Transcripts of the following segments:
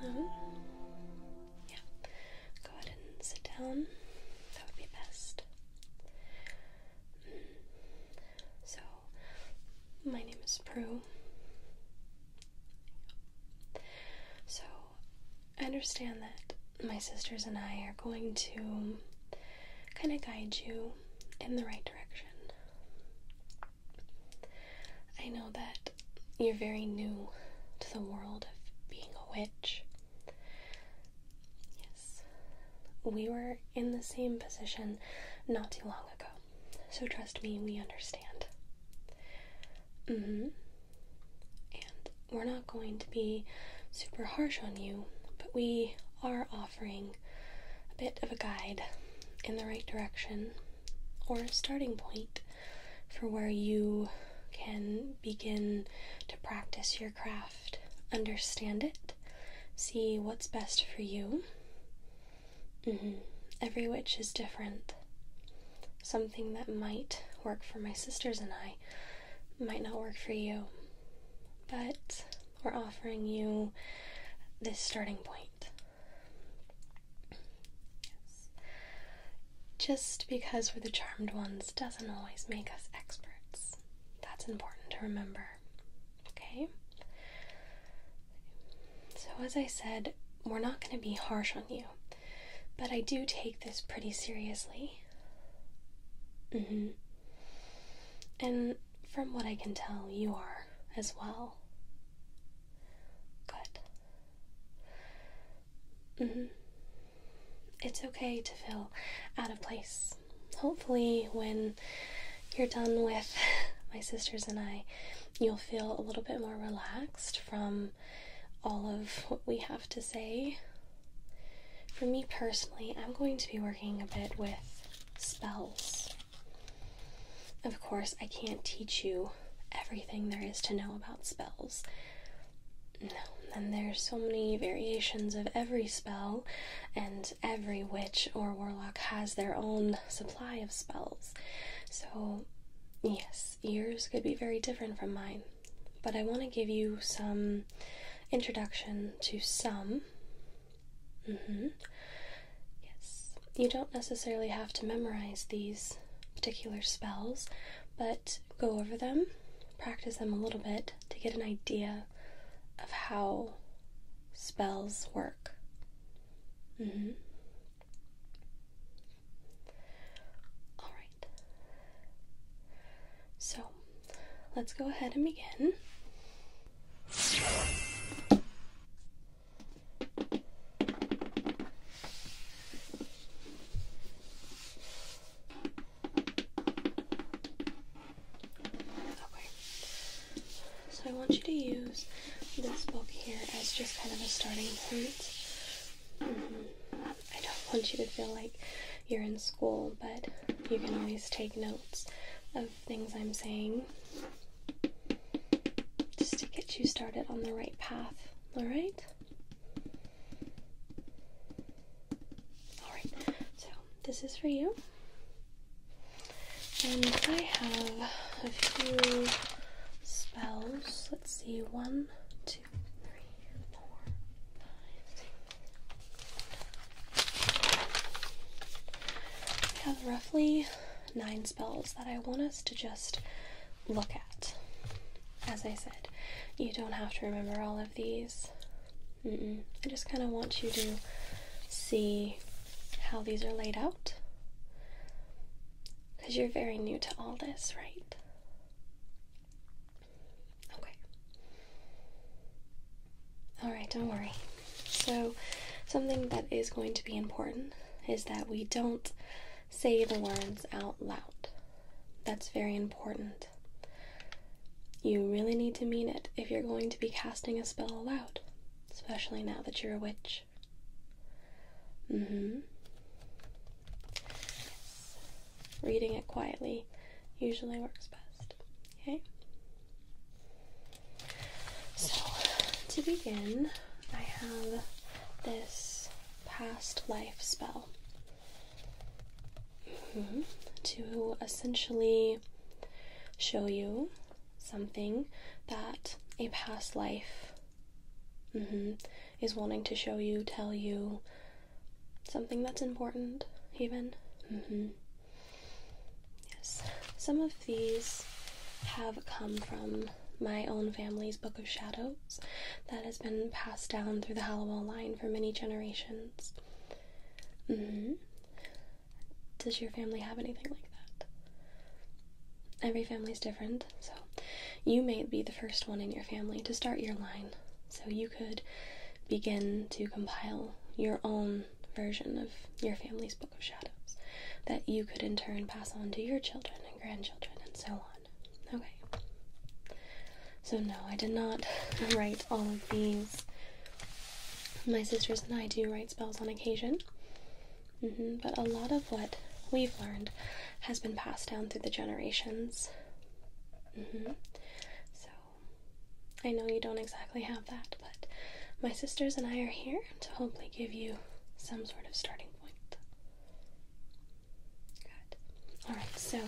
Hello? Yeah. Go ahead and sit down. That would be best. Mm. So, my name is Prue. So, I understand that my sisters and I are going to kind of guide you in the right direction. I know that you're very new to the world of being a witch. Yes, we were in the same position not too long ago, so trust me, we understand. Mm-hmm. And we're not going to be super harsh on you, but we are offering a bit of a guide in the right direction or a starting point for where you can begin to practice your craft, understand it, see what's best for you. Mm-hmm. Every witch is different. Something that might work for my sisters and I might not work for you, but we're offering you this starting point. Just because we're the charmed ones doesn't always make us experts. That's important to remember. Okay? So, as I said, we're not going to be harsh on you, but I do take this pretty seriously. Mm-hmm. And from what I can tell, you are as well. Good. -hmm. It's okay to feel out of place. Hopefully, when you're done with my sisters and I, you'll feel a little bit more relaxed from all of what we have to say. For me personally, I'm going to be working a bit with spells of course, I can't teach you everything there is to know about spells. No, and there's so many variations of every spell, and every witch or warlock has their own supply of spells. So, yes, yours could be very different from mine. But I want to give you some introduction to some. Mm-hmm. Yes, you don't necessarily have to memorize these particular spells, but go over them, practice them a little bit to get an idea of how spells work. Mm-hmm. All right. So let's go ahead and begin. Okay. So I want you to use this book here as just kind of a starting point. Mm-hmm. I don't want you to feel like you're in school, but you can always take notes of things I'm saying just to get you started on the right path. All right? All right, so this is for you. And I have a few spells. Let's see, one, two, three, four, five, six. We have roughly nine spells that I want us to just look at. As I said, you don't have to remember all of these. I just kind of want you to see how these are laid out. Because you're very new to all this, right? Okay. Alright, don't worry. So, something that is going to be important is that we don't say the words out loud. That's very important. You really need to mean it if you're going to be casting a spell aloud, especially now that you're a witch. Mm hmm. Yes. Reading it quietly usually works best. Okay? So, to begin, I have this past life spell mm-hmm. to essentially show you something that a past life mm-hmm, is wanting to show you, tell you something that's important, even. Mm-hmm. Yes, some of these have come from my own family's Book of Shadows that has been passed down through the Halliwell line for many generations. Mm-hmm. Does your family have anything like that? Every family is different, so you may be the first one in your family to start your line, so you could begin to compile your own version of your family's book of Shadows that you could in turn pass on to your children and grandchildren and so on. Okay. So, no, I did not write all of these. My sisters and I do write spells on occasion, mm-hmm. but a lot of what we've learned has been passed down through the generations. Mm-hmm. So, I know you don't exactly have that, but my sisters and I are here to hopefully give you some sort of starting Good. Alright, so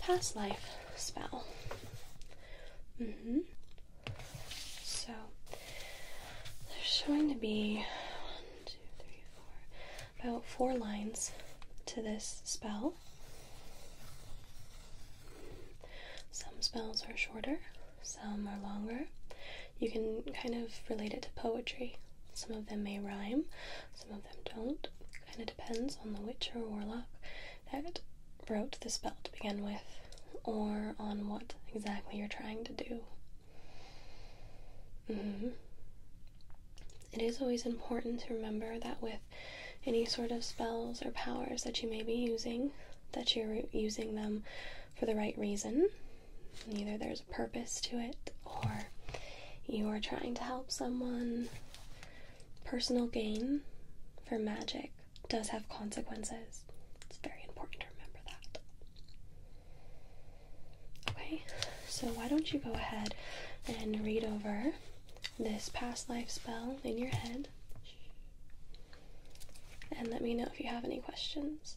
past life spell. Mm hmm. So there's showing to be about four lines to this spell. Some spells are shorter, some are longer. You can kind of relate it to poetry. Some of them may rhyme, some of them don't. Kind of depends on the witch or warlock that wrote the spell to begin with, or on what exactly you're trying to do. Mm-hmm. It is always important to remember that with any sort of spells or powers that you may be using, that you're using them for the right reason Either there's a purpose to it or you are trying to help someone. Personal gain for magic does have consequences. It's very important to remember that. Okay, so why don't you go ahead and read over this past life spell in your head and let me know if you have any questions.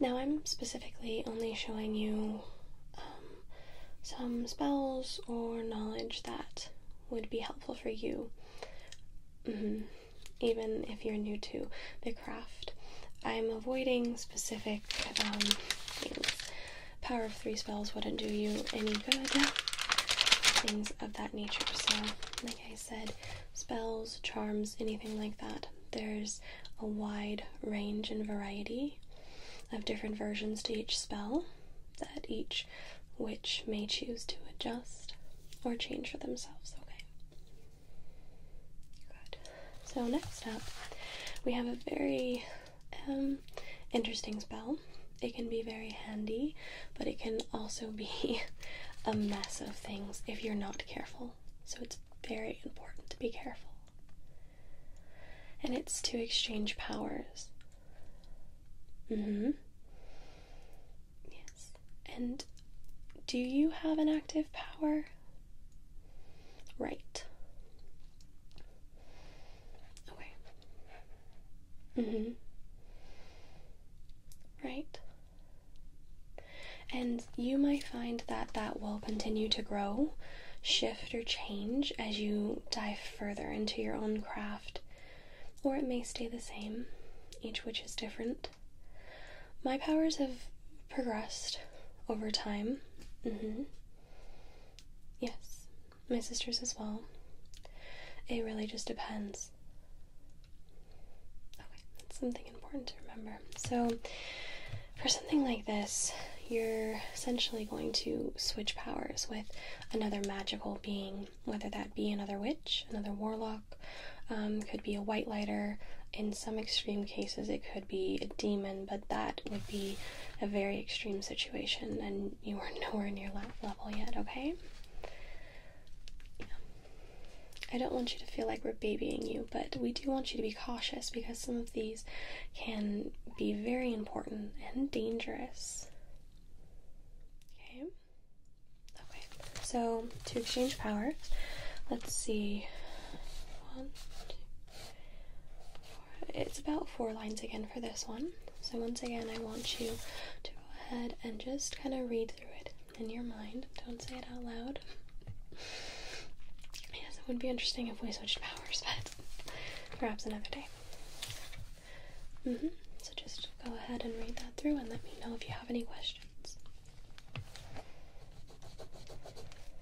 Now, I'm specifically only showing you um, some spells or knowledge that would be helpful for you, mm-hmm, even if you're new to the craft. I'm avoiding specific um, things power of three spells wouldn't do you any good, things of that nature. So, like I said, spells, charms, anything like that, there's a wide range and variety of different versions to each spell that each witch may choose to adjust or change for themselves, okay? Good. So, next up, we have a very um, interesting spell. It can be very handy, but it can also be a mess of things if you're not careful. So it's very important to be careful. And it's to exchange powers. Mm-hmm. Yes. And do you have an active power? Right. Okay. Mm-hmm. Right. And you might find that that will continue to grow, shift, or change as you dive further into your own craft, or it may stay the same, each which is different. My powers have progressed over time. Mm-hmm. Yes, my sisters as well. It really just depends. Okay, that's something important to remember. So, for something like this, you're essentially going to switch powers with another magical being, whether that be another witch, another warlock, um, could be a white lighter. In some extreme cases, it could be a demon, but that would be a very extreme situation, and you are nowhere near that level yet, okay? I don't want you to feel like we're babying you, but we do want you to be cautious because some of these can be very important and dangerous. Okay? Okay, so to exchange powers, let's see. One, two, it's about four lines again for this one. So, once again, I want you to go ahead and just kind of read through it in your mind. Don't say it out loud. yes, it would be interesting if we switched powers, but perhaps another day. Mm-hmm. So, just go ahead and read that through and let me know if you have any questions.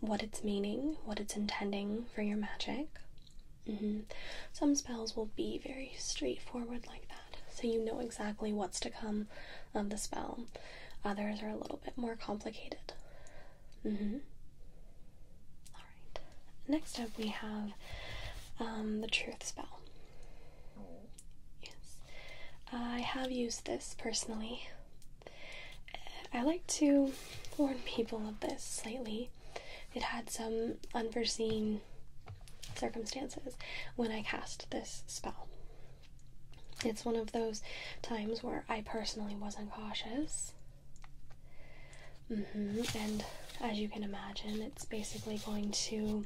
what it's meaning, what it's intending for your magic. Mm-hmm. Some spells will be very straightforward like that, so you know exactly what's to come of the spell. Others are a little bit more complicated. Mm-hmm. All right. Next up, we have um, the truth spell. Yes, I have used this personally. I like to warn people of this slightly. It had some unforeseen circumstances when I cast this spell. It's one of those times where I personally wasn't cautious. Mm-hmm, and as you can imagine, it's basically going to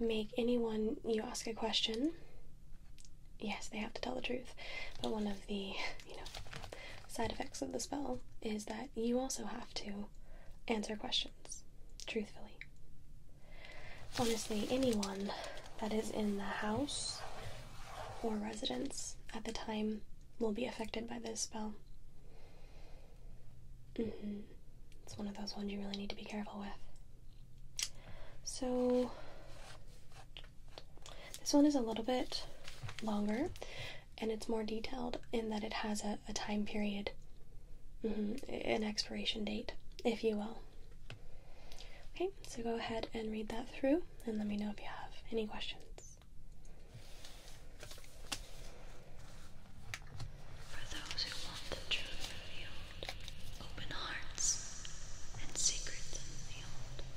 make anyone you ask a question yes, they have to tell the truth. But one of the, you know, side effects of the spell is that you also have to answer questions truthfully. Honestly, anyone that is in the house or residence at the time will be affected by this spell. Mm-hmm. It's one of those ones you really need to be careful with. So, this one is a little bit longer and it's more detailed in that it has a, time period, mm-hmm, an expiration date, if you will. Okay, so go ahead and read that through and let me know if you have any questions.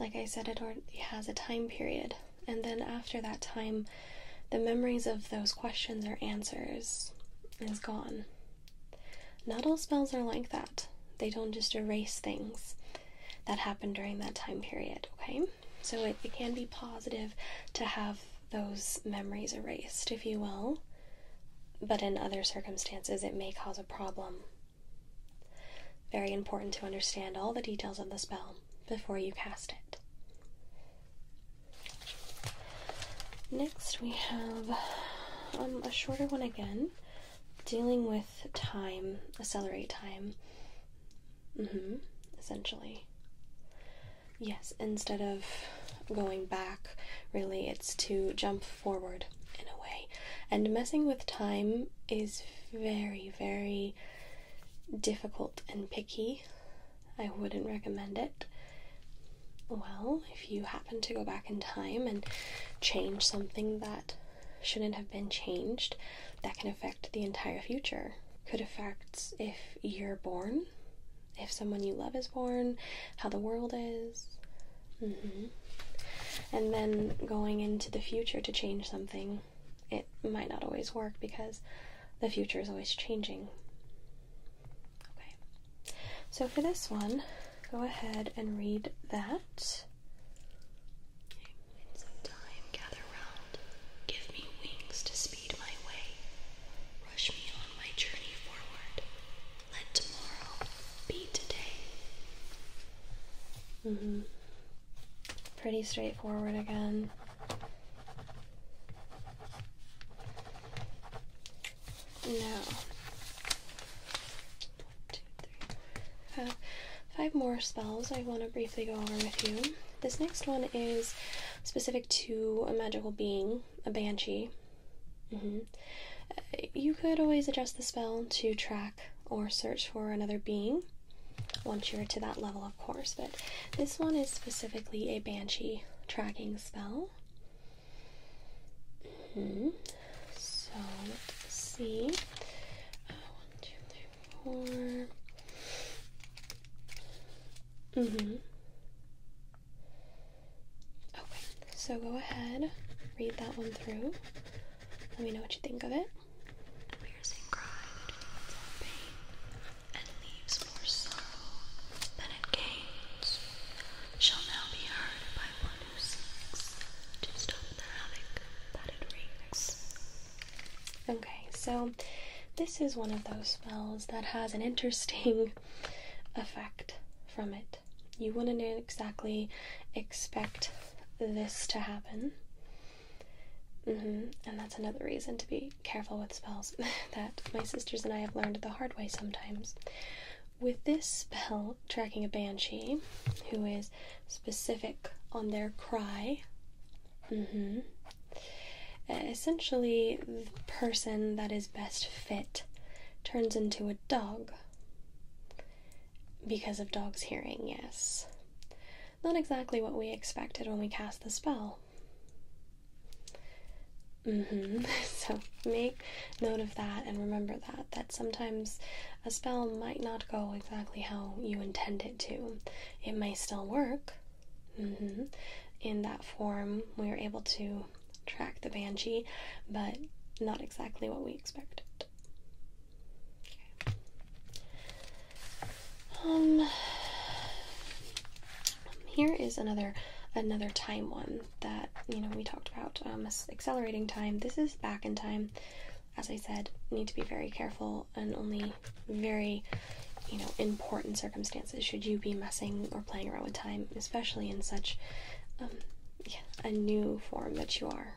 like I said, it already has a time period. And then after that time, the memories of those questions or answers is gone. Not all spells are like that, they don't just erase things that happened during that time period, okay? So it can be positive to have those memories erased, if you will, but in other circumstances, it may cause a problem very important to understand all the details of the spell before you cast it. Next, we have um, a shorter one again, dealing with time, accelerate time. Mm-hmm, essentially. Yes, instead of going back, really, it's to jump forward in a way. And messing with time is very, very difficult and picky. I wouldn't recommend it. Well, if you happen to go back in time and change something that shouldn't have been changed, that can affect the entire future. Could affect if you're born, if someone you love is born, how the world is. Mm-hmm and then going into the future to change something, it might not always work because the future is always changing. Okay, so for this one, go ahead and read that. give me wings to speed my way, rush me on my journey forward. Let tomorrow be today. Mm-hmm. Pretty straightforward again. Now, one, two, three, five, five more spells I want to briefly go over with you. This next one is specific to a magical being, a banshee. Mm-hmm. Uh, you could always adjust the spell to track or search for another being once you're to that level, of course. But this one is specifically a banshee tracking spell. Hmm, so see. Uh, one, mm-hmm. Okay, so go ahead, read that one through. Let me know what you think of it and leaves more sorrow than it gains shall now be heard by one who seeks Okay, so this is one of those spells that has an interesting effect from it. You wouldn't exactly expect this to happen. Mm-hmm. And that's another reason to be careful with spells that my sisters and I have learned the hard way sometimes. With this spell, tracking a banshee who is specific on their cry, mm-hmm, uh, essentially the person that is best fit turns into a dog. Because of dog's hearing, yes. Not exactly what we expected when we cast the spell. Mm-hmm. So make note of that and remember that that sometimes a spell might not go exactly how you intend it to. It may still work. Mm-hmm, in that form, we were able to track the banshee, but not exactly what we expected. Um, here is another another time one that you know we talked about um, accelerating time. This is back in time. As I said, need to be very careful and only very you know important circumstances should you be messing or playing around with time, especially in such um, a new form that you are.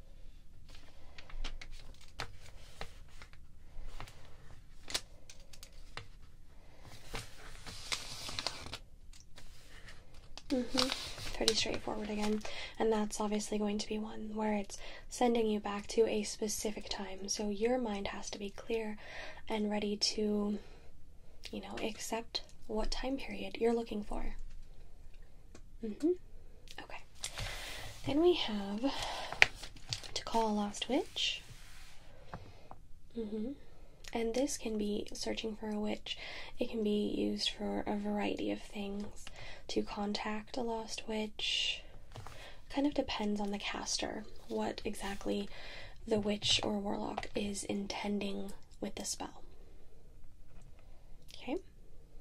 -hmm. Pretty straightforward again, and that's obviously going to be one where it's sending you back to a specific time. So your mind has to be clear and ready to, you know, accept what time period you're looking for. -hmm. Okay. Then we have to call a lost witch. hmm And this can be searching for a witch. It can be used for a variety of things. To contact a lost witch. Kind of depends on the caster, what exactly the witch or warlock is intending with the spell. Okay.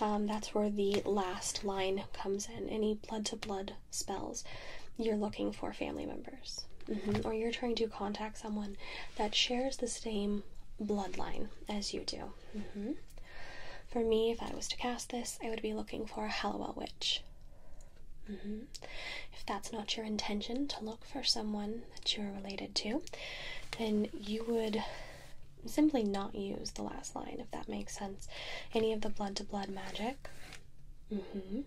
Um, that's where the last line comes in. Any blood to blood spells, you're looking for family members, mm-hmm. or you're trying to contact someone that shares the same bloodline as you do. Mm-hmm. For me, if I was to cast this, I would be looking for a Hallowell witch. Mm-hmm. If that's not your intention to look for someone that you're related to, then you would simply not use the last line, if that makes sense. Any of the blood to blood magic, mm-hmm,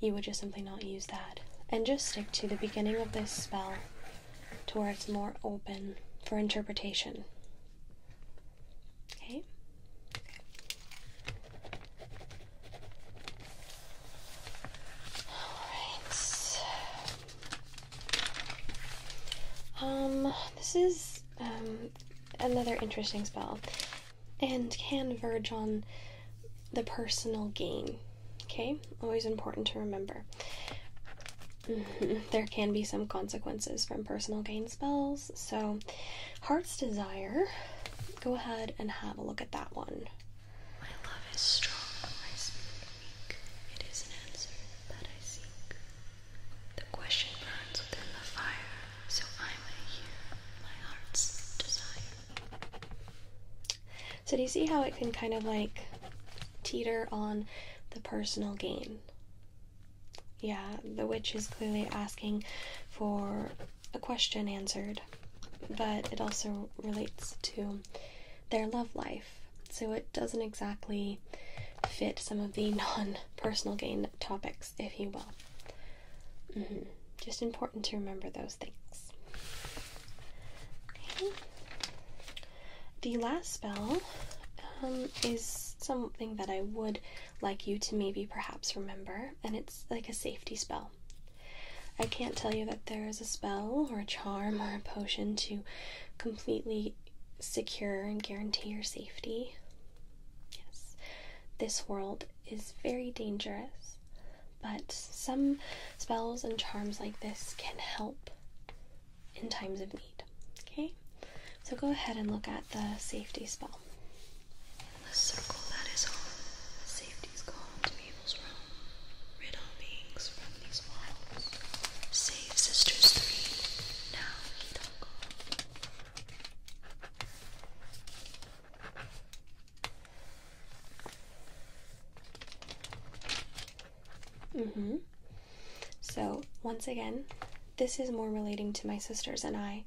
you would just simply not use that. And just stick to the beginning of this spell to where it's more open for interpretation. Okay? Alright. Um, this is um, another interesting spell and can verge on the personal gain. Okay, always important to remember. there can be some consequences from personal gain spells, so Heart's Desire, go ahead and have a look at that one. So, do you see how it can kind of like teeter on the personal gain? Yeah, the witch is clearly asking for a question answered, but it also relates to their love life. So it doesn't exactly fit some of the non personal gain topics, if you will. Mm-hmm. Just important to remember those things. The last spell um, is something that I would like you to maybe perhaps remember, and it's like a safety spell. I can't tell you that there is a spell or a charm or a potion to completely secure and guarantee your safety. Yes, this world is very dangerous, but some spells and charms like this can help in times of need. Okay, so go ahead and look at the safety spell. In the circle that is on, safety is gone to evil's realm. Save sisters three, mm-hmm. So, once again, this is more relating to my sisters and I.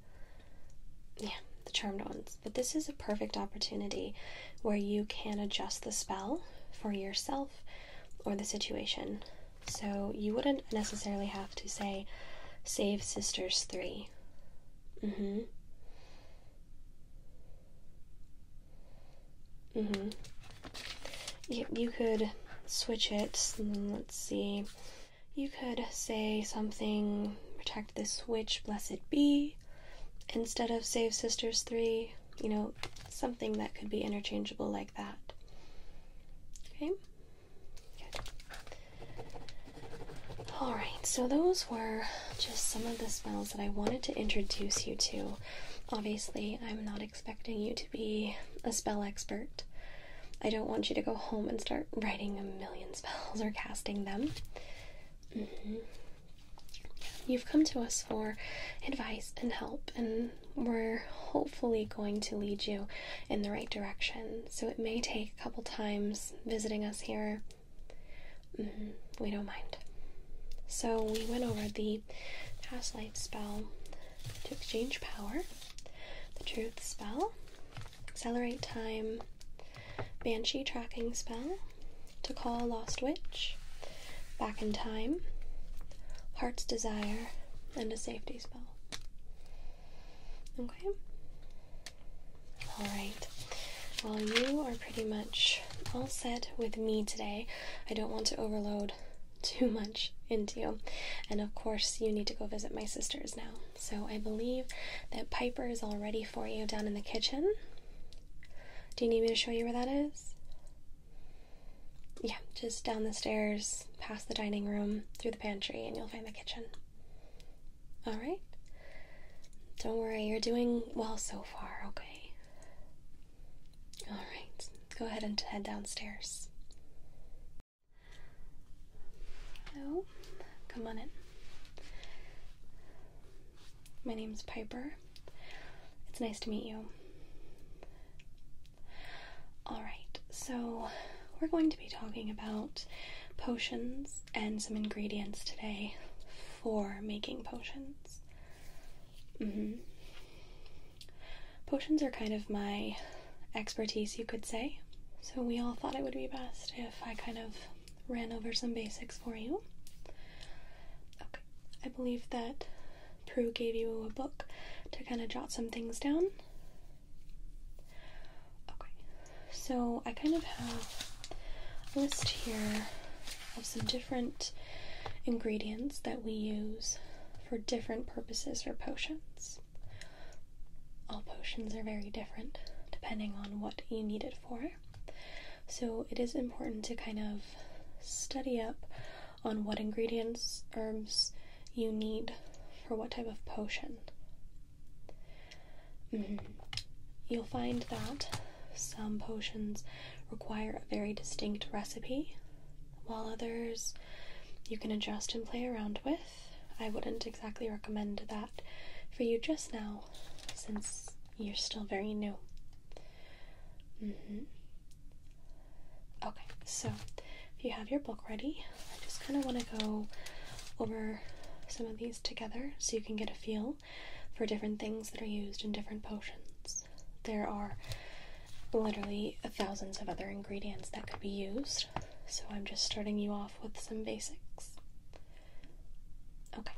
Yeah, the charmed ones. But this is a perfect opportunity where you can adjust the spell for yourself or the situation. So you wouldn't necessarily have to say save sisters 3. Mhm. Mm mhm. Mm you, you could switch it. Mm, let's see. You could say something protect this witch, blessed be, instead of save sisters 3. You know, something that could be interchangeable like that. Okay. Good. All right. So those were just some of the spells that I wanted to introduce you to. Obviously, I'm not expecting you to be a spell expert. I don't want you to go home and start writing a million spells or casting them. Mm-hmm. You've come to us for advice and help, and we're hopefully going to lead you in the right direction. So it may take a couple times visiting us here. Mm-hmm. we don't mind. So we went over the past life spell to exchange power, the truth spell, accelerate time, banshee tracking spell, to call lost witch, Back in Time, Heart's Desire, and a safety spell. Okay? Alright. Well, you are pretty much all set with me today. I don't want to overload too much into you. And of course, you need to go visit my sisters now. So I believe that Piper is all ready for you down in the kitchen. Do you need me to show you where that is? yeah, just down the stairs, past the dining room, through the pantry, and you'll find the kitchen. All right? Don't worry, you're doing well so far, okay? All right, go ahead and head downstairs. Hello, come on in. My name's Piper. It's nice to meet you. Alright, so we're going to be talking about potions and some ingredients today for making potions. Mm-hmm. Potions are kind of my expertise, you could say. So, we all thought it would be best if I kind of ran over some basics for you. Okay, I believe that Prue gave you a book to kind of jot some things down. Okay, so I kind of have a list here of some different ingredients that we use for different purposes or potions. All potions are very different depending on what you need it for. So it is important to kind of study up on what ingredients, herbs you need for what type of potion. Mm-hmm. You'll find that some potions require a very distinct recipe, while others you can adjust and play around with. I wouldn't exactly recommend that for you just now, since you're still very new. Mm-hmm. Okay, so if you have your book ready, I just kind of want to go over some of these together so you can get a feel for different things that are used in different potions. There are literally thousands of other ingredients that could be used, so I'm just starting you off with some basics. Okay,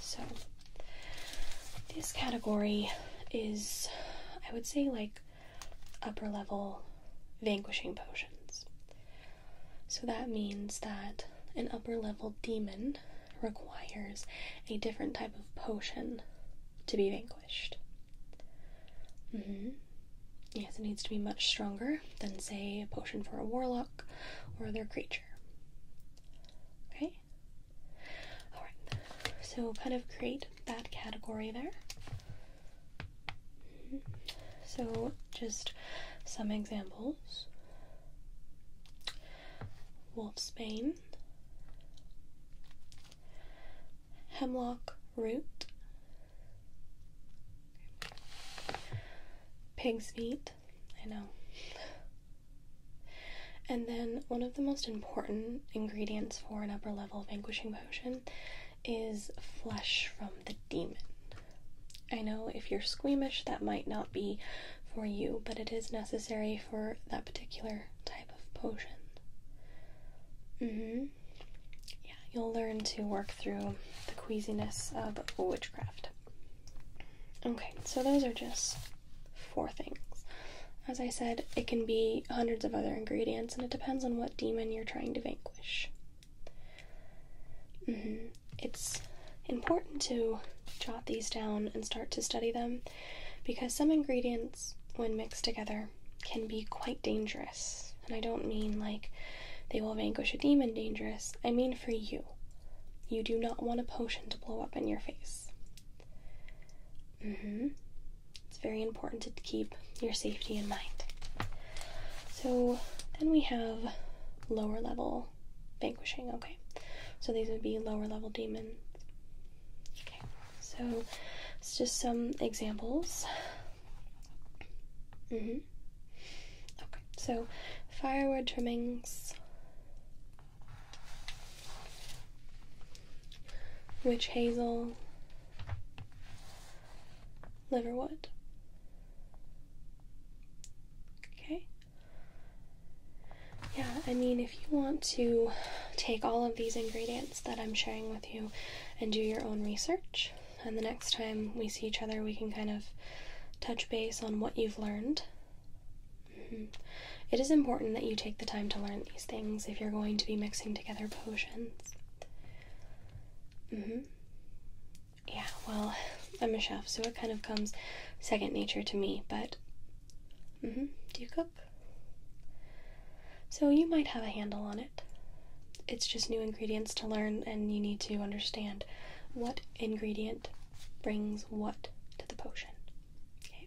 so this category is, I would say, like upper level vanquishing potions. So that means that an upper level demon requires a different type of potion to be vanquished. Mm-hmm. Yes, it needs to be much stronger than, say, a potion for a warlock or other creature. Okay? Alright, so kind of create that category there. So, just some examples wolf's bane, Hemlock Root, Pig's Feet, I know. And then one of the most important ingredients for an upper level vanquishing potion is flesh from the demon. I know if you're squeamish, that might not be for you, but it is necessary for that particular type of potion. Mm-hmm. Yeah, you'll learn to work through the queasiness of witchcraft. Okay, so those are just four things. As I said, it can be hundreds of other ingredients, and it depends on what demon you're trying to vanquish. Mm-hmm. It's important to jot these down and start to study them because some ingredients, when mixed together, can be quite dangerous. And I don't mean like they will vanquish a demon dangerous, I mean for you. You do not want a potion to blow up in your face. Mm-hmm. It's very important to keep your safety in mind. So then we have lower level vanquishing, okay? So these would be lower level demons. Okay, so it's just some examples. Mm-hmm. Okay, so firewood trimmings witch hazel, liverwood. Okay. Yeah, I mean, if you want to take all of these ingredients that I'm sharing with you and do your own research, and the next time we see each other, we can kind of touch base on what you've learned. Mm-hmm. It is important that you take the time to learn these things if you're going to be mixing together potions. Mm-hmm. Yeah, well, I'm a chef, so it kind of comes second nature to me, but. Mm-hmm. Do you cook? So you might have a handle on it. It's just new ingredients to learn, and you need to understand what ingredient brings what to the potion. Okay?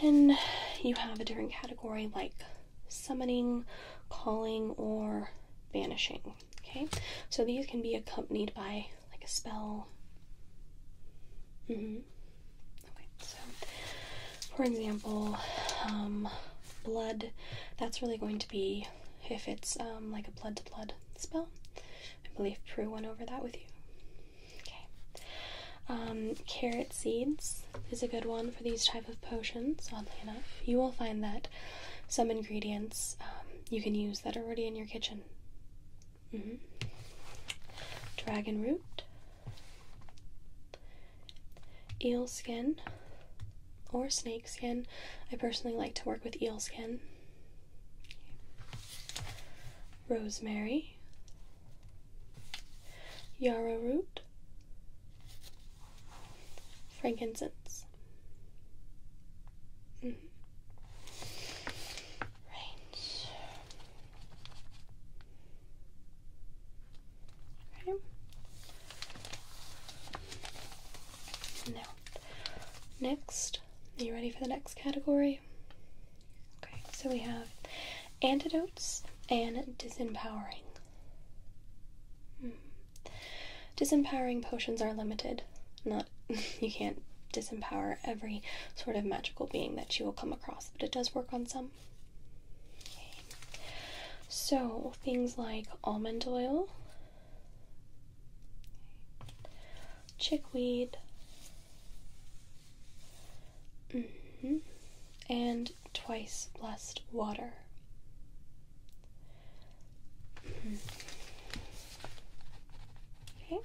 Then you have a different category like summoning, calling, or vanishing. Okay, so these can be accompanied by like a spell. Mm-hmm. Okay, so for example, um, blood, that's really going to be if it's um, like a blood to blood spell. I believe Prue went over that with you. Okay. Um, carrot seeds is a good one for these type of potions. Oddly enough, you will find that some ingredients um, you can use that are already in your kitchen. Mm-hmm. Dragon root, eel skin, or snake skin. I personally like to work with eel skin rosemary, yarrow root, frankincense. Mm-hmm. Right. Okay. Now, next, are you ready for the next category? Okay, so we have antidotes and disempowering. Hmm. Disempowering potions are limited. Not you can't disempower every sort of magical being that you will come across, but it does work on some. So things like almond oil, chickweed, Mm-hmm. And twice blessed water. Mm-hmm. Okay.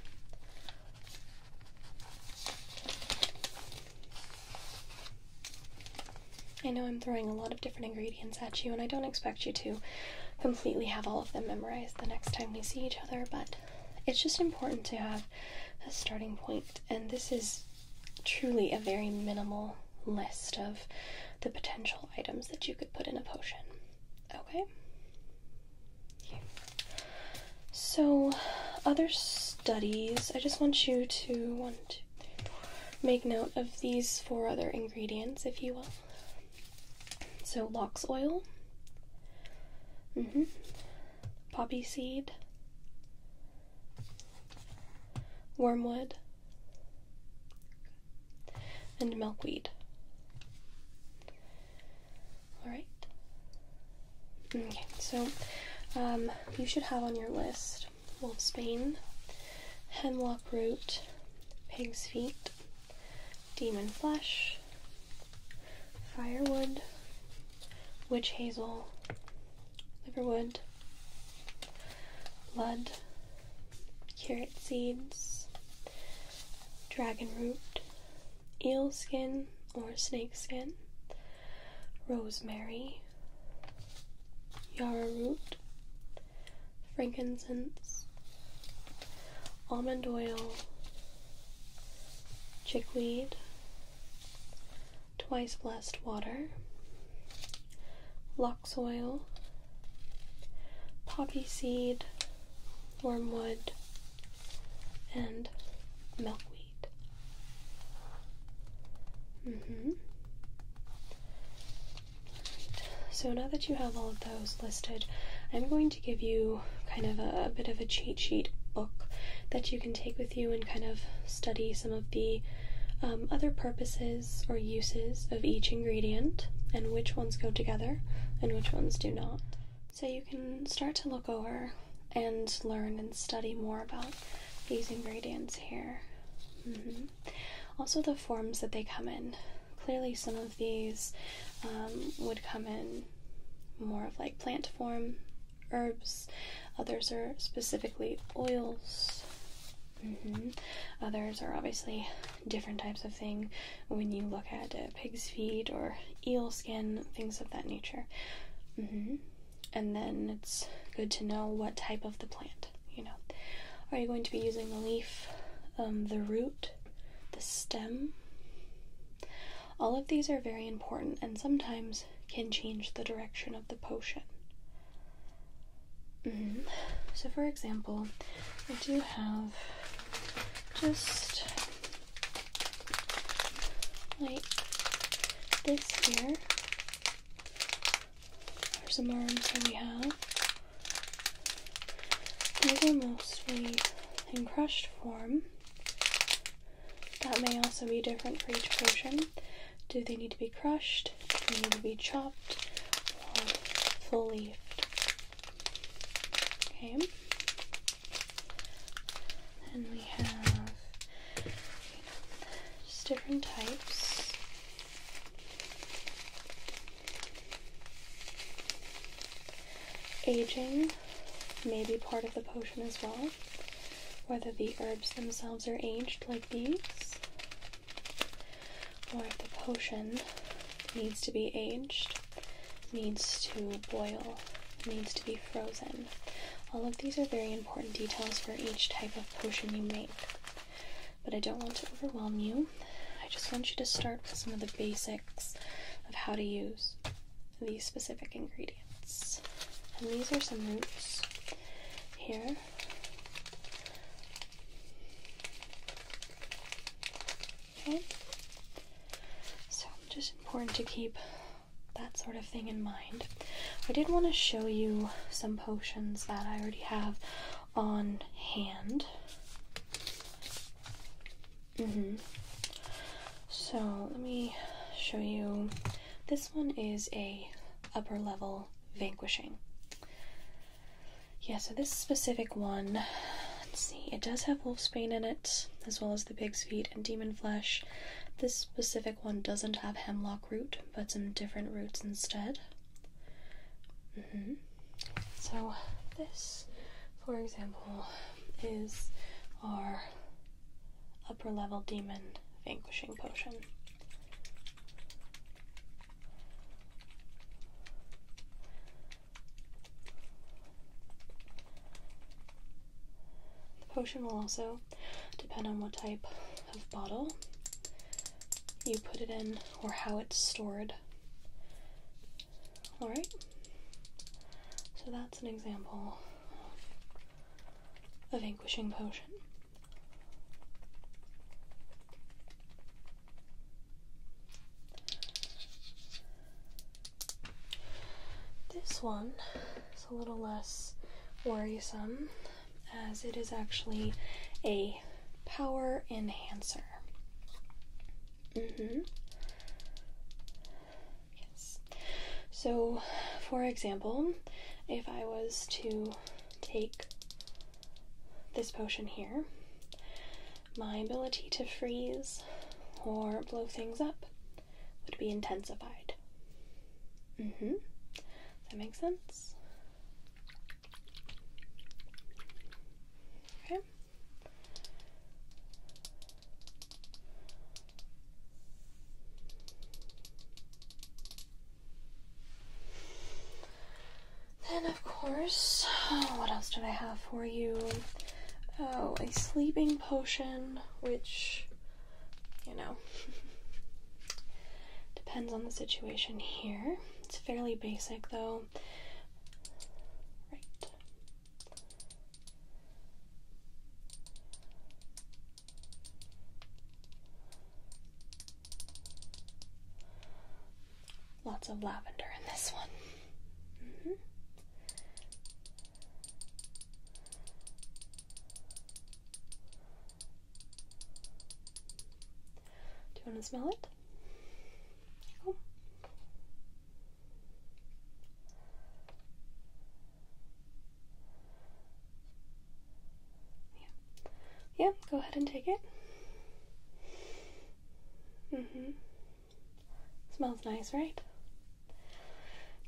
I know I'm throwing a lot of different ingredients at you, and I don't expect you to completely have all of them memorized the next time we see each other, but it's just important to have a starting point, and this is truly a very minimal list of the potential items that you could put in a potion. Okay? So, other studies, I just want you to one, two, three, four, make note of these four other ingredients, if you will. So, lox oil. Mm -hmm poppy seed, wormwood, and milkweed. Alright. Okay, so um, you should have on your list wolfsbane, hemlock root, pig's feet, demon flesh, firewood, witch hazel, liverwood, blood, carrot seeds, dragon root, eel skin or snake skin, rosemary, yarrow root, frankincense, almond oil, chickweed, Twice blessed water, lock soil, poppy seed, wormwood, and milkweed. Mm-hmm. So now that you have all of those listed, I'm going to give you kind of a, bit of a cheat sheet book that you can take with you and kind of study some of the um, other purposes or uses of each ingredient and which ones go together and which ones do not. So you can start to look over and learn and study more about these ingredients here. Mm-hmm. Also, the forms that they come in. Clearly, some of these um, would come in more of like plant form, herbs, others are specifically oils. Mm-hmm. Others are obviously different types of thing when you look at pig's feet or eel skin, things of that nature. Mm-hmm. And then it's good to know what type of the plant, you know. Are you going to be using the leaf, um, the root, the stem? All of these are very important and sometimes can change the direction of the potion. Mm-hmm. So, for example, I do have just like this here are some arms that we have. These are mostly in crushed form. That may also be different for each potion. Do they need to be crushed? Do they need to be chopped or full leafed? Okay. And we have just different types. Aging may be part of the potion as well whether the herbs themselves are aged like these, or if the potion needs to be aged, needs to boil, needs to be frozen. All of these are very important details for each type of potion you make. But I don't want to overwhelm you. I just want you to start with some of the basics of how to use these specific ingredients. And these are some roots here. Okay. So just important to keep that sort of thing in mind. I did want to show you some potions that I already have on hand. Mm -hmm. So let me show you. This one is a upper level vanquishing. Yeah, so this specific one, let's see, it does have wolfsbane in it, as well as the pig's feet and demon flesh. This specific one doesn't have hemlock root, but some different roots instead. Mm -hmm. So this, for example, is our Upper level demon vanquishing potion. The potion will also depend on what type of bottle you put it in or how it's stored. Alright, so that that's an example of a vanquishing potion. This one is a little less worrisome as it is actually a power enhancer. Mm-hmm. Yes. So, for example, if I was to take this potion here, my ability to freeze or blow things up would be intensified. Mm hmm. That makes sense. Okay. Then, of course, what else did I have for you? Oh, a sleeping potion, which, you know, depends on the situation here. It's fairly basic, though. Right. Lots of lavender in this one. Mm-hmm. Do you want to smell it? Oh. Yeah. Yeah, go ahead and take it. Mm-hmm. Smells nice, right?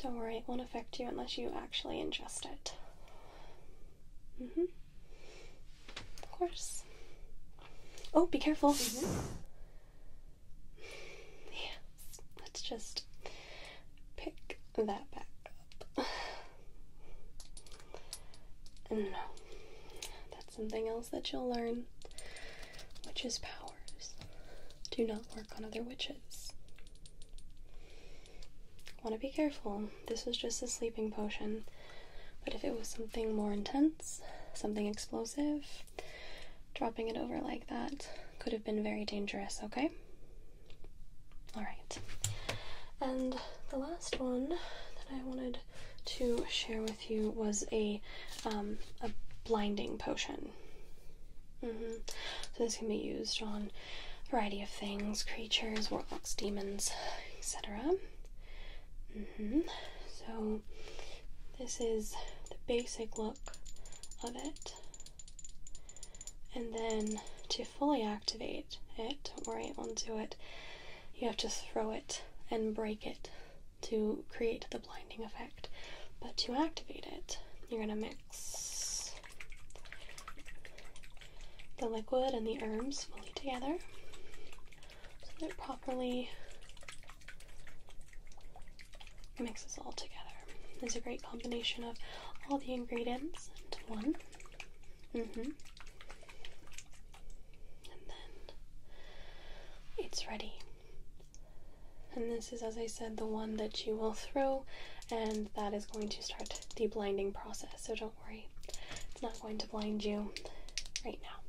Don't worry, it won't affect you unless you actually ingest it. Mm-hmm. Of course. Oh, be careful. -hmm. Yes, let's just pick that back up. No, that's something else that you'll learn. which is powers do not work on other witches. Want to be careful. This was just a sleeping potion, but if it was something more intense, something explosive, Dropping it over like that could have been very dangerous, okay? Alright. And the last one that I wanted to share with you was a, um, a blinding potion. -hmm. So this can be used on a variety of things, creatures, warlocks, demons, etc. Mm-hmm. So this is the basic look of it. And then to fully activate it, don't worry, it won't do it, you have to throw it and break it to create the blinding effect. But to activate it, you're going to mix the liquid and the herbs fully together so they're properly Mix this all together. It's a great combination of all the ingredients into one. Mm-hmm. And then it's ready. And this is, as I said, the one that you will throw, and that is going to start the blinding process. So don't worry, it's not going to blind you right now.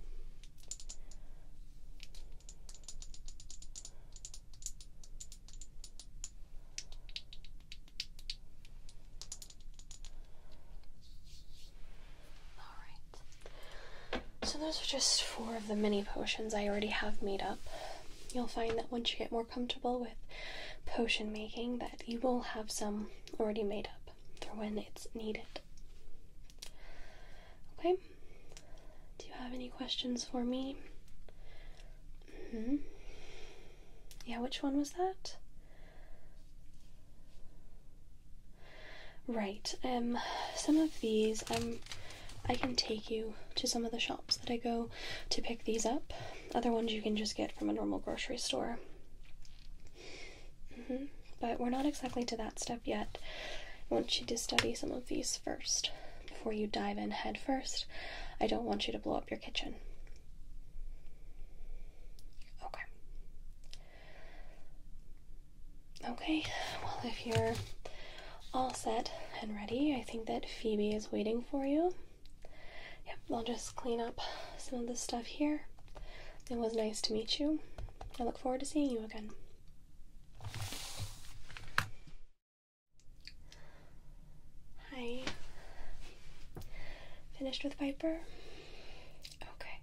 Alright, so those are just four of the many potions I already have made up. You'll find that once you get more comfortable with potion making, that you will have some already made up for when it's needed. Okay, do you have any questions for me? Mm-hmm. Yeah, which one was that? Right. Um some of these um I can take you to some of the shops that I go to pick these up. Other ones you can just get from a normal grocery store. Mm-hmm. But we're not exactly to that step yet. I want you to study some of these first. Before you dive in headfirst, I don't want you to blow up your kitchen. Okay. Okay, well, if you're all set and ready, I think that Phoebe is waiting for you. Yep, I'll just clean up some of the stuff here. It was nice to meet you. I look forward to seeing you again. Hi. Finished with Piper? Okay.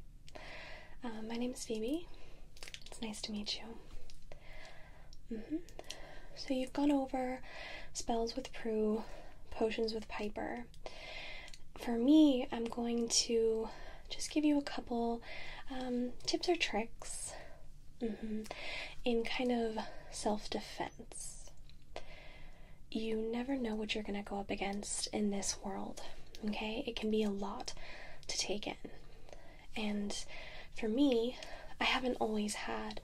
Uh, my name is Phoebe. It's nice to meet you. Mm-hmm. So you've gone over spells with Prue, potions with Piper. For me, I'm going to just give you a couple um, tips or tricks Mm -hmm. In kind of self defense. You never know what you're going to go up against in this world, okay? It can be a lot to take in. And for me, I haven't always had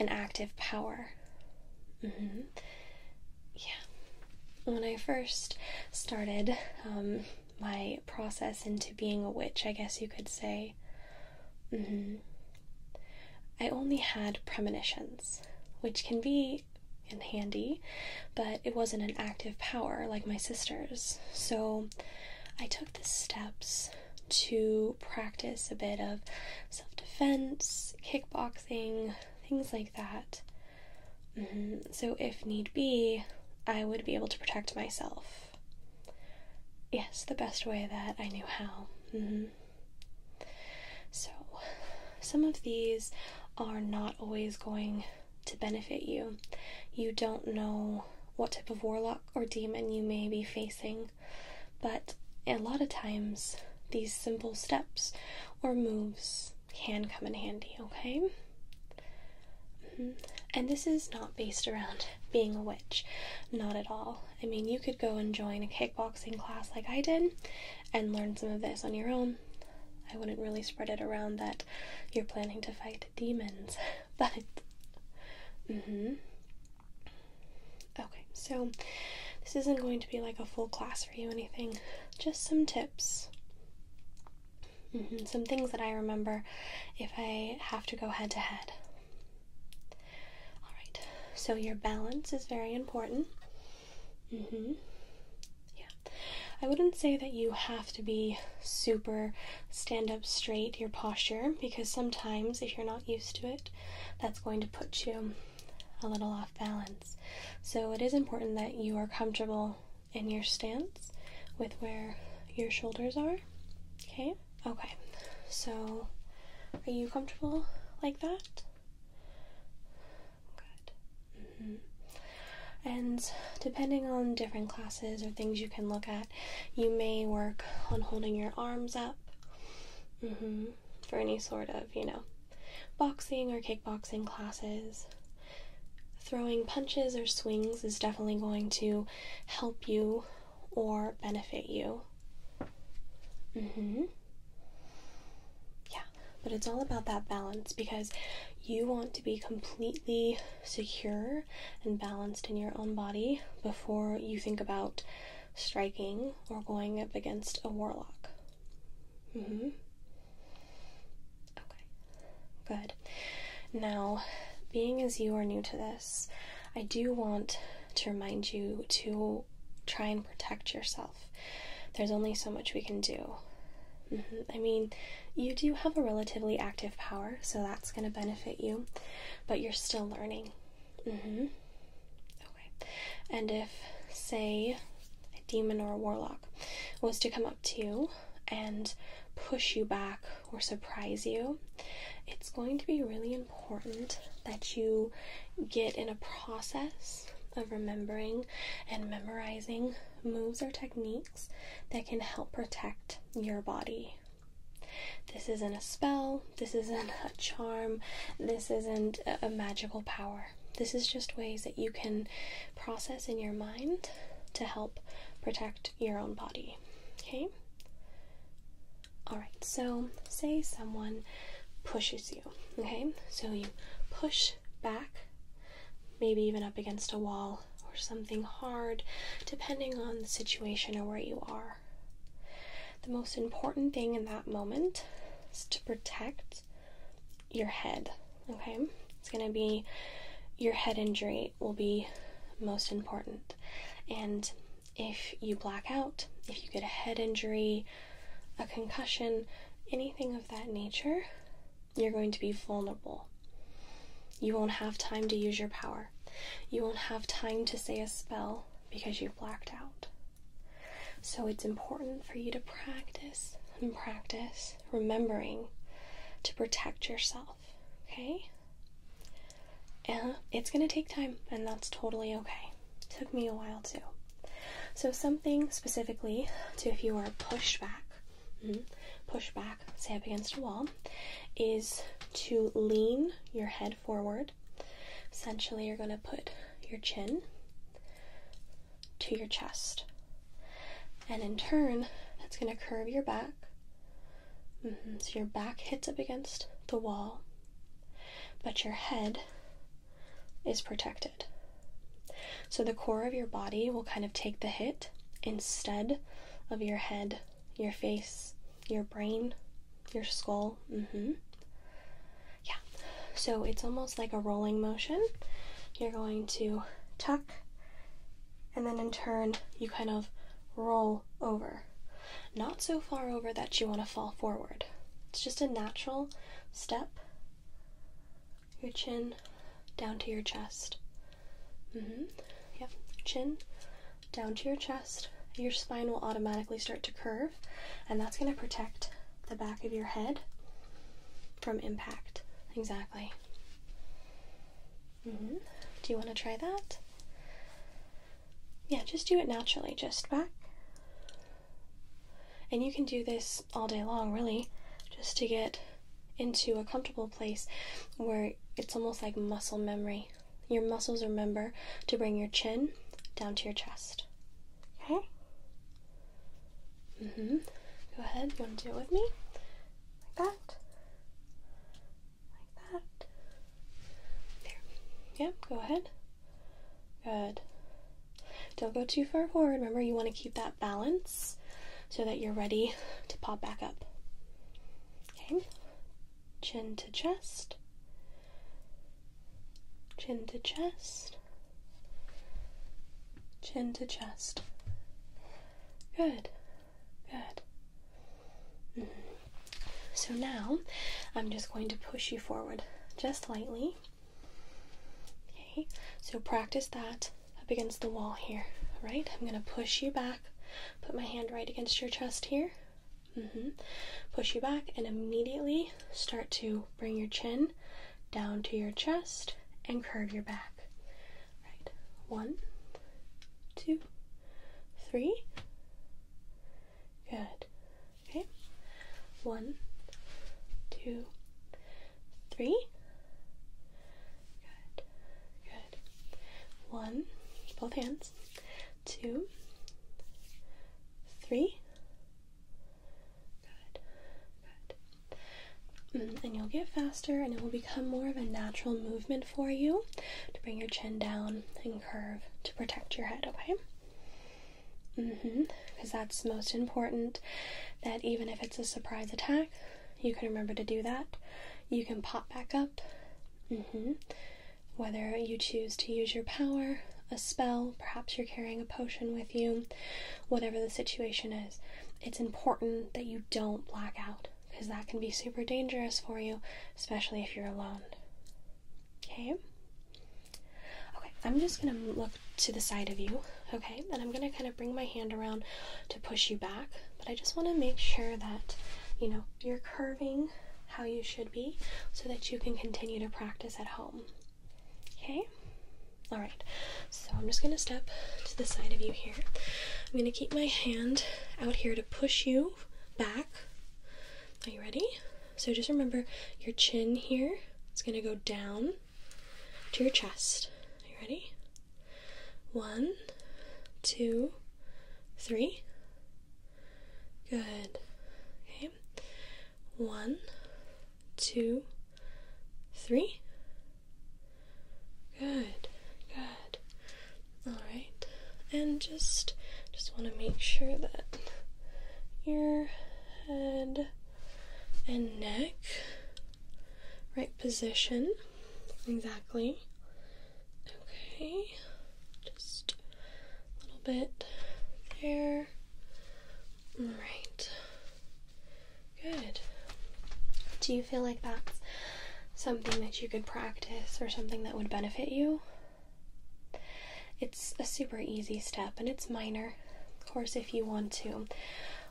an active power. Mm -hmm. Yeah. When I first started um, my process into being a witch, I guess you could say, Mm-hmm. I only had premonitions, which can be in handy, but it wasn't an active power like my sister's. So I took the steps to practice a bit of self defense, kickboxing, things like that. Mm-hmm. So, if need be, I would be able to protect myself. Yes, the best way that I knew how. Mm-hmm. So, some of these are not always going to benefit you. You don't know what type of warlock or demon you may be facing, but a lot of times these simple steps or moves can come in handy, okay? And this is not based around being a witch, not at all. I mean, you could go and join a kickboxing class like I did and learn some of this on your own. I wouldn't really spread it around that you're planning to fight demons, but. Mm-hmm. Okay, so this isn't going to be like a full class for you, anything, just some tips. Mm-hmm, some things that I remember if I have to go head to head. All right, so your balance is very important. Mm-hmm. Yeah. I wouldn't say that you have to be super stand up straight, your posture, because sometimes if you're not used to it, that's going to put you a little off balance. So it is important that you are comfortable in your stance with where your shoulders are. Okay? Okay, so are you comfortable like that? Good. Mm-hmm. And depending on different classes or things you can look at, you may work on holding your arms up mm-hmm, for any sort of, you know, boxing or kickboxing classes. Throwing punches or swings is definitely going to help you or benefit you. Mm hmm. Yeah, but it's all about that balance because you want to be completely secure and balanced in your own body before you think about striking or going up against a warlock. Mm hmm. Okay, good. Now, being as you are new to this. I do want to remind you to try and protect yourself. There's only so much we can do. Mm-hmm. I mean, you do have a relatively active power, so that's going to benefit you, but you're still learning. Mm-hmm. Okay. And if, say, a demon or a warlock was to come up to you and push you back or surprise you, it's going to be really important that you get in a process of remembering and memorizing moves or techniques that can help protect your body. This isn't a spell, this isn't a charm, this isn't a magical power. This is just ways that you can process in your mind to help protect your own body. Okay? Alright, so say someone pushes you, okay? So you push back, maybe even up against a wall or something hard, depending on the situation or where you are. The most important thing in that moment is to protect your head, okay? It's gonna be your head injury will be most important. And if you black out, if you get a head injury, a concussion, anything of that nature, you're going to be vulnerable. You won't have time to use your power. You won't have time to say a spell because you've blacked out. So it's important for you to practice and practice remembering to protect yourself okay? And uh, it's gonna take time, and that's totally okay. took me a while too. So, something specifically to if you are pushed back, hmm, push back, say up against a wall, is to lean your head forward. Essentially, you're gonna put your chin to your chest. And in turn, that's going to curve your back Mm-hmm. So your back hits up against the wall, but your head is protected. So the core of your body will kind of take the hit instead of your head, your face, your brain, your skull. Mm-hmm. Yeah. So it's almost like a rolling motion. You're going to tuck, and then in turn, you kind of roll over. Not so far over that you want to fall forward. It's just a natural step. Your chin down to your chest. Mm-hmm. Yep. Chin down to your chest. Your spine will automatically start to curve, and that's going to protect the back of your head from impact. Exactly. Mm-hmm. Do you want to try that? Yeah, just do it naturally. Just back. And you can do this all day long, really, just to get into a comfortable place where it's almost like muscle memory. Your muscles remember to bring your chin down to your chest. Okay? hmm. Go ahead. You want to do it with me? Like that. Like that. There. Yep, yeah, go ahead. Good. Don't go too far forward. Remember, you want to keep that balance so that you're ready to pop back up. Okay. Chin to chest. Chin to chest. Chin to chest. Good. Good. So now I'm just going to push you forward just lightly. Okay, so practice that up against the wall here. All right, I'm going to push you back, put my hand right against your chest here. Mm -hmm. Push you back and immediately start to bring your chin down to your chest and curve your back. All right, one, two, three. Good. Okay. One, two, three. Good. Good. One, both hands. Two, three. Good. Good. Mm, and you'll get faster, and it will become more of a natural movement for you to bring your chin down curve to protect your head, okay? Mm-hmm. Because that's most important. That even if it's a surprise attack, you can remember to do that. You can pop back up. Mm-hmm. Whether you choose to use your power, a spell, perhaps you're carrying a potion with you, whatever the situation is, it's important that you don't black out because that can be super dangerous for you, especially if you're alone. Okay? Okay, I'm just going to look to the side of you, okay? And I'm going to kind of bring my hand around to push you back, but I just want to make sure that, you know, you're curving how you should be so that you can continue to practice at home. Okay? All right, so I'm just gonna step to the side of you here. I'm gonna keep my hand out here to push you back are you ready? So just remember your chin here is going to go down to your chest. Are you ready? One, two, three. Good. Okay. One, two, three. Good. Good. Alright, and just just want to make sure that your head and neck right position exactly. Okay, just a little bit there. Alright, good. Do you feel like that's something that you could practice or something that would benefit you? It's a super easy step and it's minor. Of course, if you want to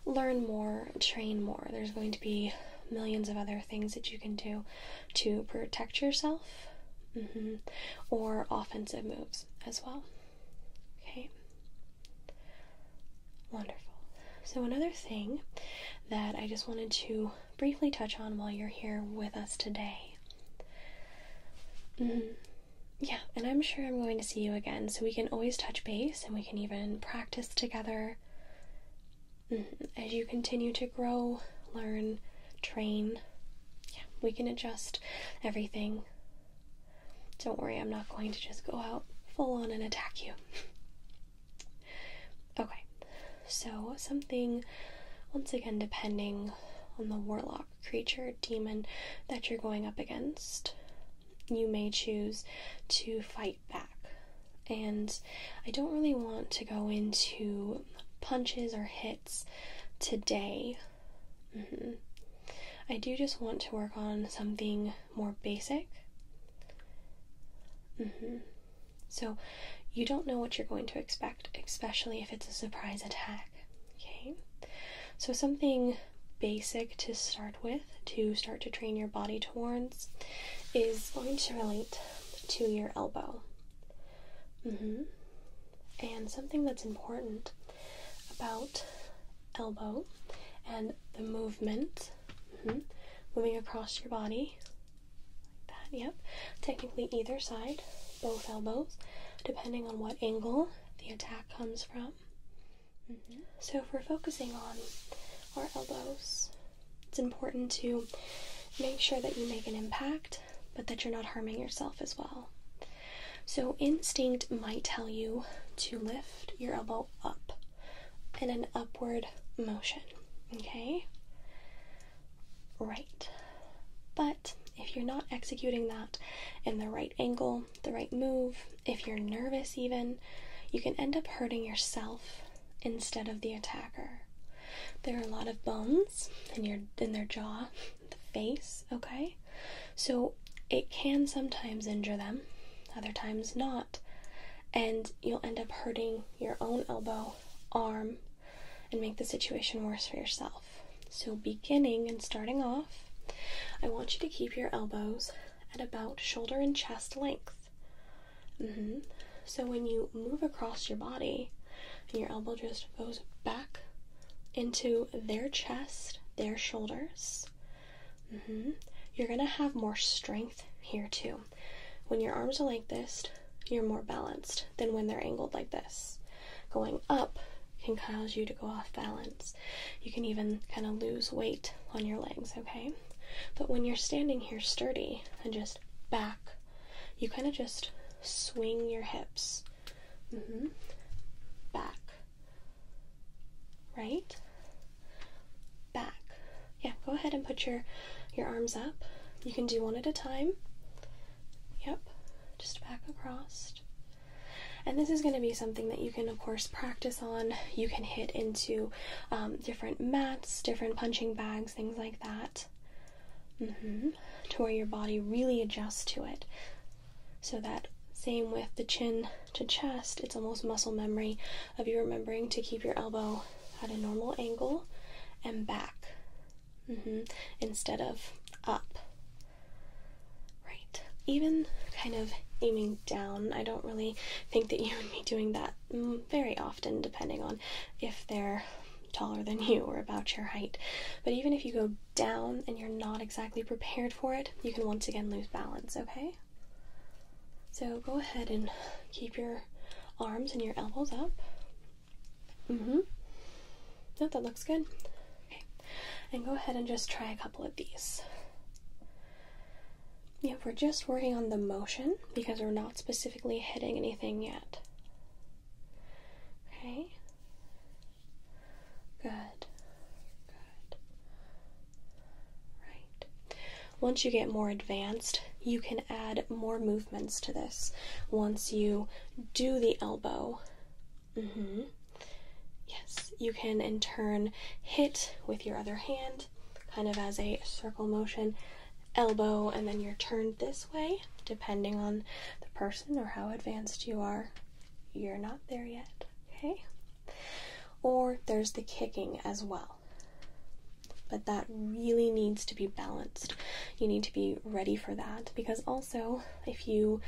learn more, train more, there's going to be millions of other things that you can do to protect yourself mm-hmm, or offensive moves as well. Okay, wonderful. So, another thing that I just wanted to briefly touch on while you're here with us today. Mm-hmm. yeah, and I'm sure I'm going to see you again, so we can always touch base and we can even practice together. Mm-hmm. as you continue to grow, learn, train, yeah, we can adjust everything. Don't worry, I'm not going to just go out full on and attack you. okay, so, something, once again, depending on the warlock, creature, demon that you're going up against, you may choose to fight back. And I don't really want to go into punches or hits today. Mm-hmm. I do just want to work on something more basic. Mm-hmm. So you don't know what you're going to expect, especially if it's a surprise attack. Okay? So something basic to start with to start to train your body towards is going to relate to your elbow. Mm-hmm. And something that's important about elbow and the movement mm-hmm, moving across your body that, yep. Technically, either side, both elbows, depending on what angle the attack comes from. Mm-hmm. So, if we're focusing on our elbows, it's important to make sure that you make an impact, but that you're not harming yourself as well. So, instinct might tell you to lift your elbow up in an upward motion, okay? right. But if you're not executing that in the right angle, the right move, if you're nervous even, you can end up hurting yourself instead of the attacker. There are a lot of bones in your in their jaw, the face, okay? So it can sometimes injure them, other times not. And you'll end up hurting your own elbow, arm, and make the situation worse for yourself. So, beginning and starting off, I want you to keep your elbows at about shoulder and chest length. Mm-hmm. So, when you move across your body and your elbow just goes back into their chest, their shoulders, mm-hmm. you're going to have more strength here too when your arms are like this, you're more balanced than when they're angled like this. Going up can cause you to go off balance. You can even kind of lose weight on your legs, okay? But when you're standing here sturdy and just back, you kind of just swing your hips. Mm-hmm. Back. Right? Back. Yeah, go ahead and put your your arms up. You can do one at a time. Yep, just back across. And this is going to be something that you can, of course, practice on. You can hit into um, different mats, different punching bags, things like that, mm-hmm, to where your body really adjusts to it. So that same with the chin to chest, it's almost muscle memory of you remembering to keep your elbow at a normal angle and back. Mm -hmm. Instead of up. Right. Even kind of aiming down. I don't really think that you would be doing that very often, depending on if they're taller than you or about your height. But even if you go down and you're not exactly prepared for it, you can once again lose balance, okay? So go ahead and keep your arms and your elbows up. Mm-hmm. No, that looks good. Okay. And go ahead and just try a couple of these. Yeah, we're just working on the motion because we're not specifically hitting anything yet. Okay. Good. Good. Right. Once you get more advanced you can add more movements to this once you do the elbow. Mm-hmm. Yes, you can in turn hit with your other hand, kind of as a circle motion, elbow, and then you're turned this way, depending on the person or how advanced you are. You're not there yet, okay? Or there's the kicking as well but that really needs to be balanced. You need to be ready for that because also, if you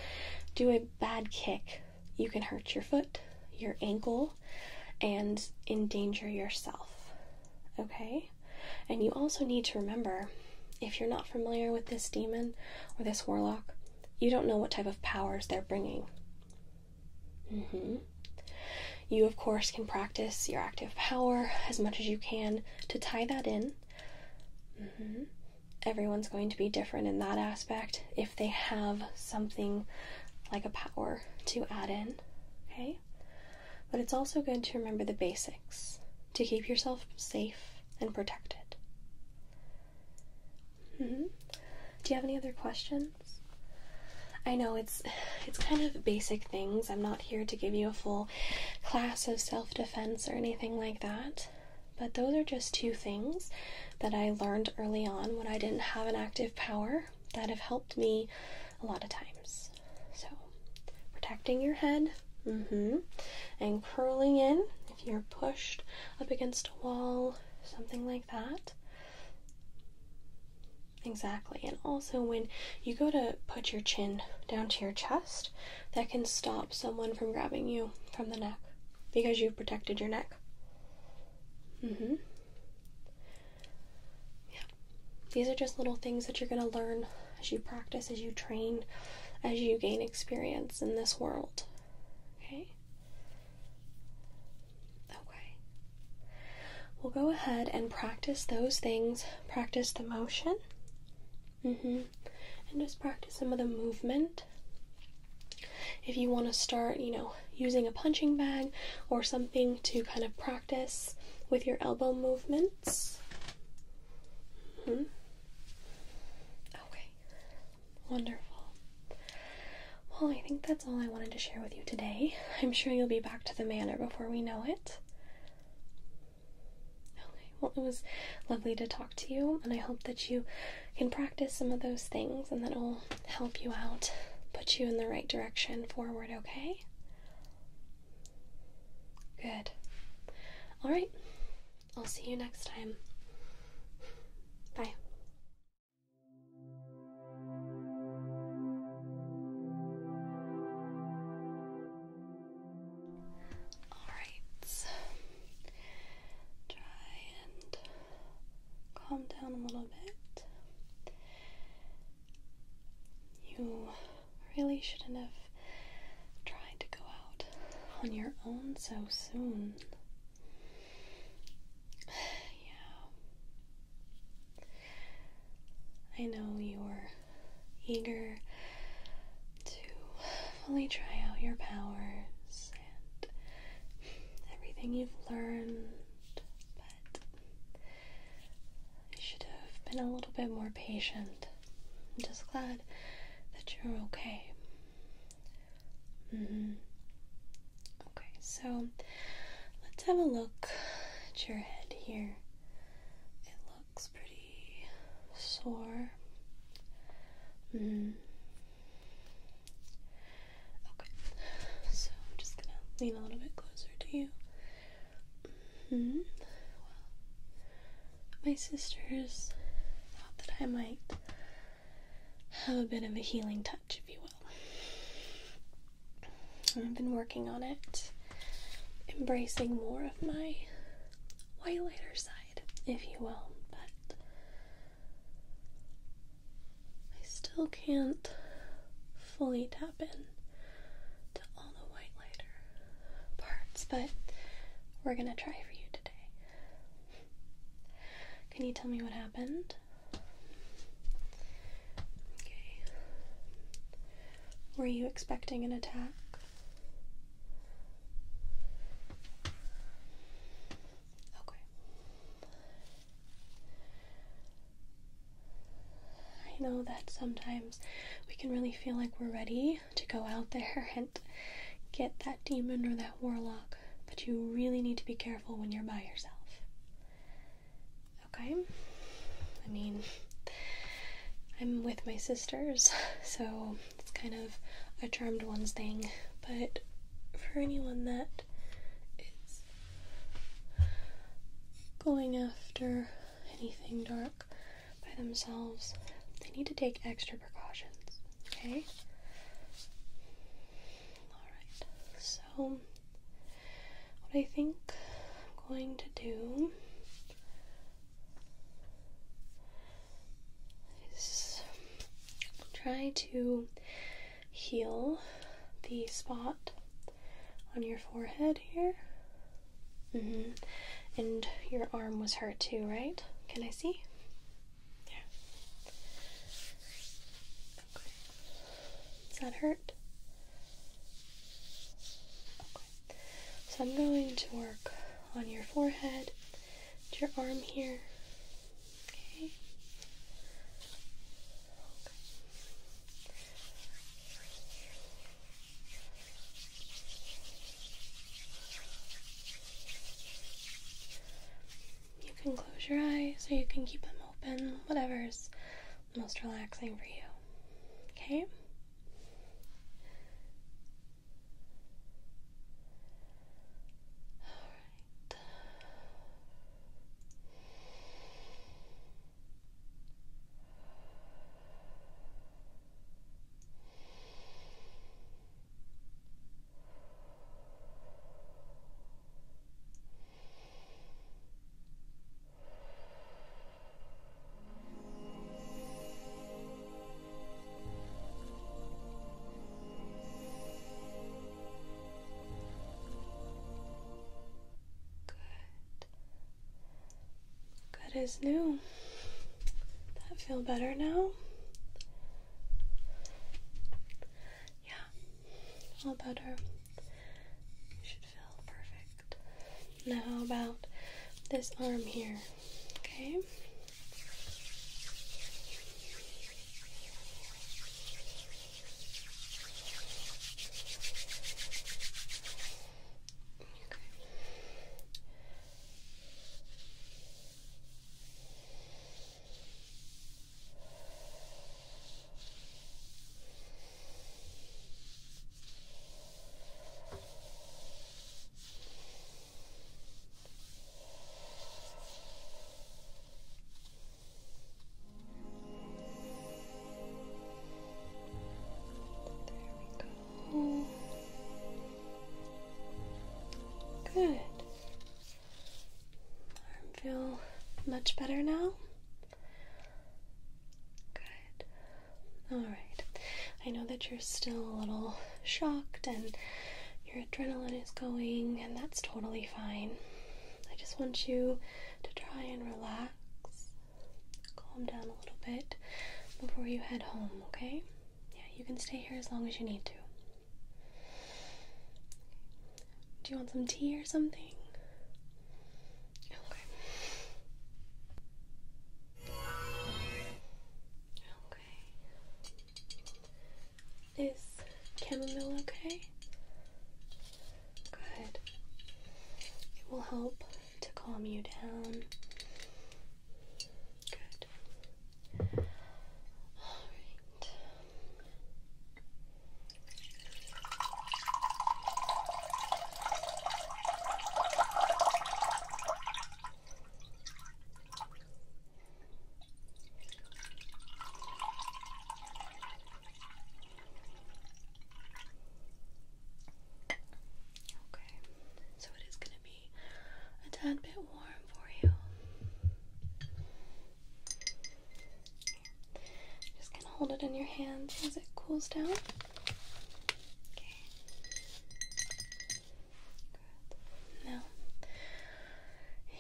do a bad kick, you can hurt your foot, your ankle, and endanger yourself. Okay? And you also need to remember if you're not familiar with this demon or this warlock, you don't know what type of powers they're bringing. Mm-hmm. You, of course, can practice your active power as much as you can, to tie that in. Mm-hmm. Everyone's going to be different in that aspect if they have something like a power to add in, okay? But it's also good to remember the basics to keep yourself safe and protected. Mm-hmm. Do you have any other questions? I know it's it's kind of basic things. I'm not here to give you a full class of self defense or anything like that. But those are just two things that I learned early on when I didn't have an active power that have helped me a lot of times. So, protecting your head mm-hmm, and curling in if you're pushed up against a wall, something like that. Exactly. And also, when you go to put your chin down to your chest, that can stop someone from grabbing you from the neck because you've protected your neck. Mm-hmm. Yeah. These are just little things that you're going to learn as you practice, as you train, as you gain experience in this world. Okay? Okay. We'll go ahead and practice those things. Practice the motion Mm-hmm. And just practice some of the movement. If you want to start, you know, using a punching bag or something to kind of practice with your elbow movements. hmm Okay. Wonderful. Well, I think that's all I wanted to share with you today. I'm sure you'll be back to the manor before we know it. Okay, well, it was lovely to talk to you, and I hope that you can practice some of those things and that will help you out, put you in the right direction forward, okay? Good. All right, I'll see you next time. Bye. Alright, try and calm down a little bit. You really shouldn't have tried to go out on your own so soon. Yeah. I know you were eager to fully try out your powers and everything you've learned, but you should have been a little bit more patient. I'm just glad that you're okay. Mm-hmm. Okay, so let's have a look at your head here looks pretty sore. Mm. Okay, so I'm just gonna lean a little bit closer to you. Mm-hmm. my sisters thought that I might have a bit of a healing touch, if you will. I've been working on it embracing more of my white lighter side, if you will, but I still can't fully tap in to all the white lighter parts, but we're gonna try for you today. Can you tell me what happened? Okay. Were you expecting an attack? Okay. I know that sometimes we can really feel like we're ready to go out there and get that demon or that warlock, but you really need to be careful when you're by yourself. Okay? I mean, I'm with my sisters, so it's kind of a charmed ones thing. But for anyone that is going after anything dark by themselves, they need to take extra precautions, okay? Alright, so what I think I'm going to do try to heal the spot on your forehead here. Mm-hmm. And your arm was hurt too, right? Can I see? Yeah. Okay. Does that hurt? So I'm going to work on your forehead, your arm here. okay. You can close your eyes or you can keep them open, whatever's most relaxing for you. Okay? Good. Good as new. That feel better now? Yeah, a little better. You should feel perfect. Now, how about this arm here? Okay. There we go. Good. I feel much better now. Good. All right. I know that you're still a little shocked and your adrenaline is going, and that's totally fine. I just want you to try and relax, calm down a little bit before you head home, okay? Yeah, you can stay here as long as you need to. Do you want some tea or something? Okay. Okay. Is chamomile okay? Good. It will help to calm you down. Good. All right. Okay, so it is going to be a tad bit warm for you. Just gonna hold it in your hands as it cools down. Okay. Good. Now,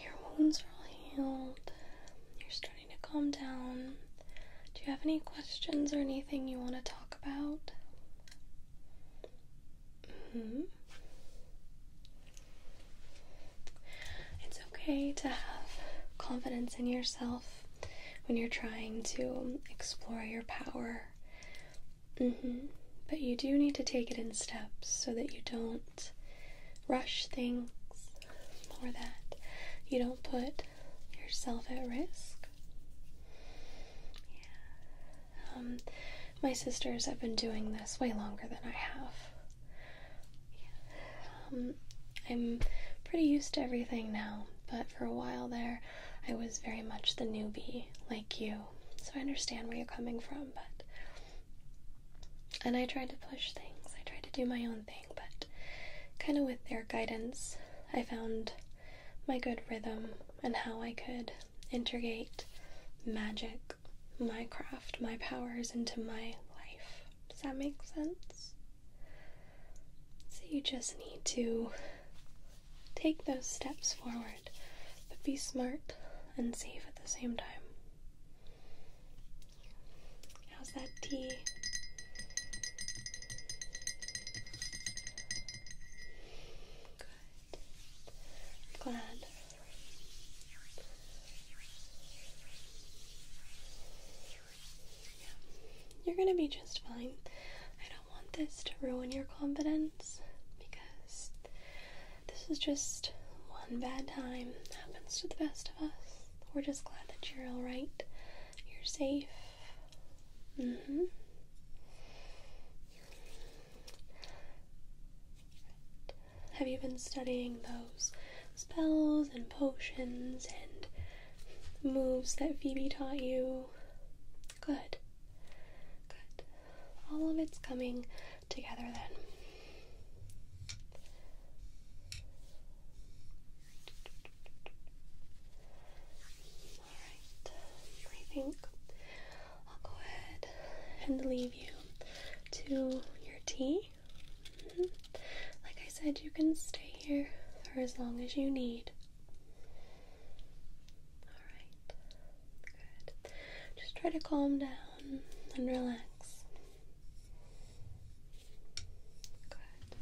your wounds are healed. You're starting to calm down. Do you have any questions or anything you want to talk about? hmm. It's okay to have confidence in yourself when you're trying to explore your power. Mm-hmm. But you do need to take it in steps so that you don't rush things or that you don't put yourself at risk. Yeah. Um, my sisters have been doing this way longer than I have. Um, I'm pretty used to everything now but for a while there, I was very much the newbie like you. So I understand where you're coming from, but. And I tried to push things, I tried to do my own thing, but kind of with their guidance, I found my good rhythm and how I could integrate magic, my craft, my powers into my life. Does that make sense? So you just need to take those steps forward, but be smart and safe at the same time. How's that T? Good. glad. You're gonna be just fine don't want this to ruin your confidence because this is just one bad time. happens to the best of us. We're just glad that you're alright. You're safe. Mm-hmm. Have you been studying those spells and potions and moves that Phoebe taught you? Good. Good. All of it's coming together then. Alright, I think I'll go ahead and leave you to your tea. Mm-hmm. Like I said, you can stay here for as long as you need. Alright, good. Just try to calm down and relax. Good.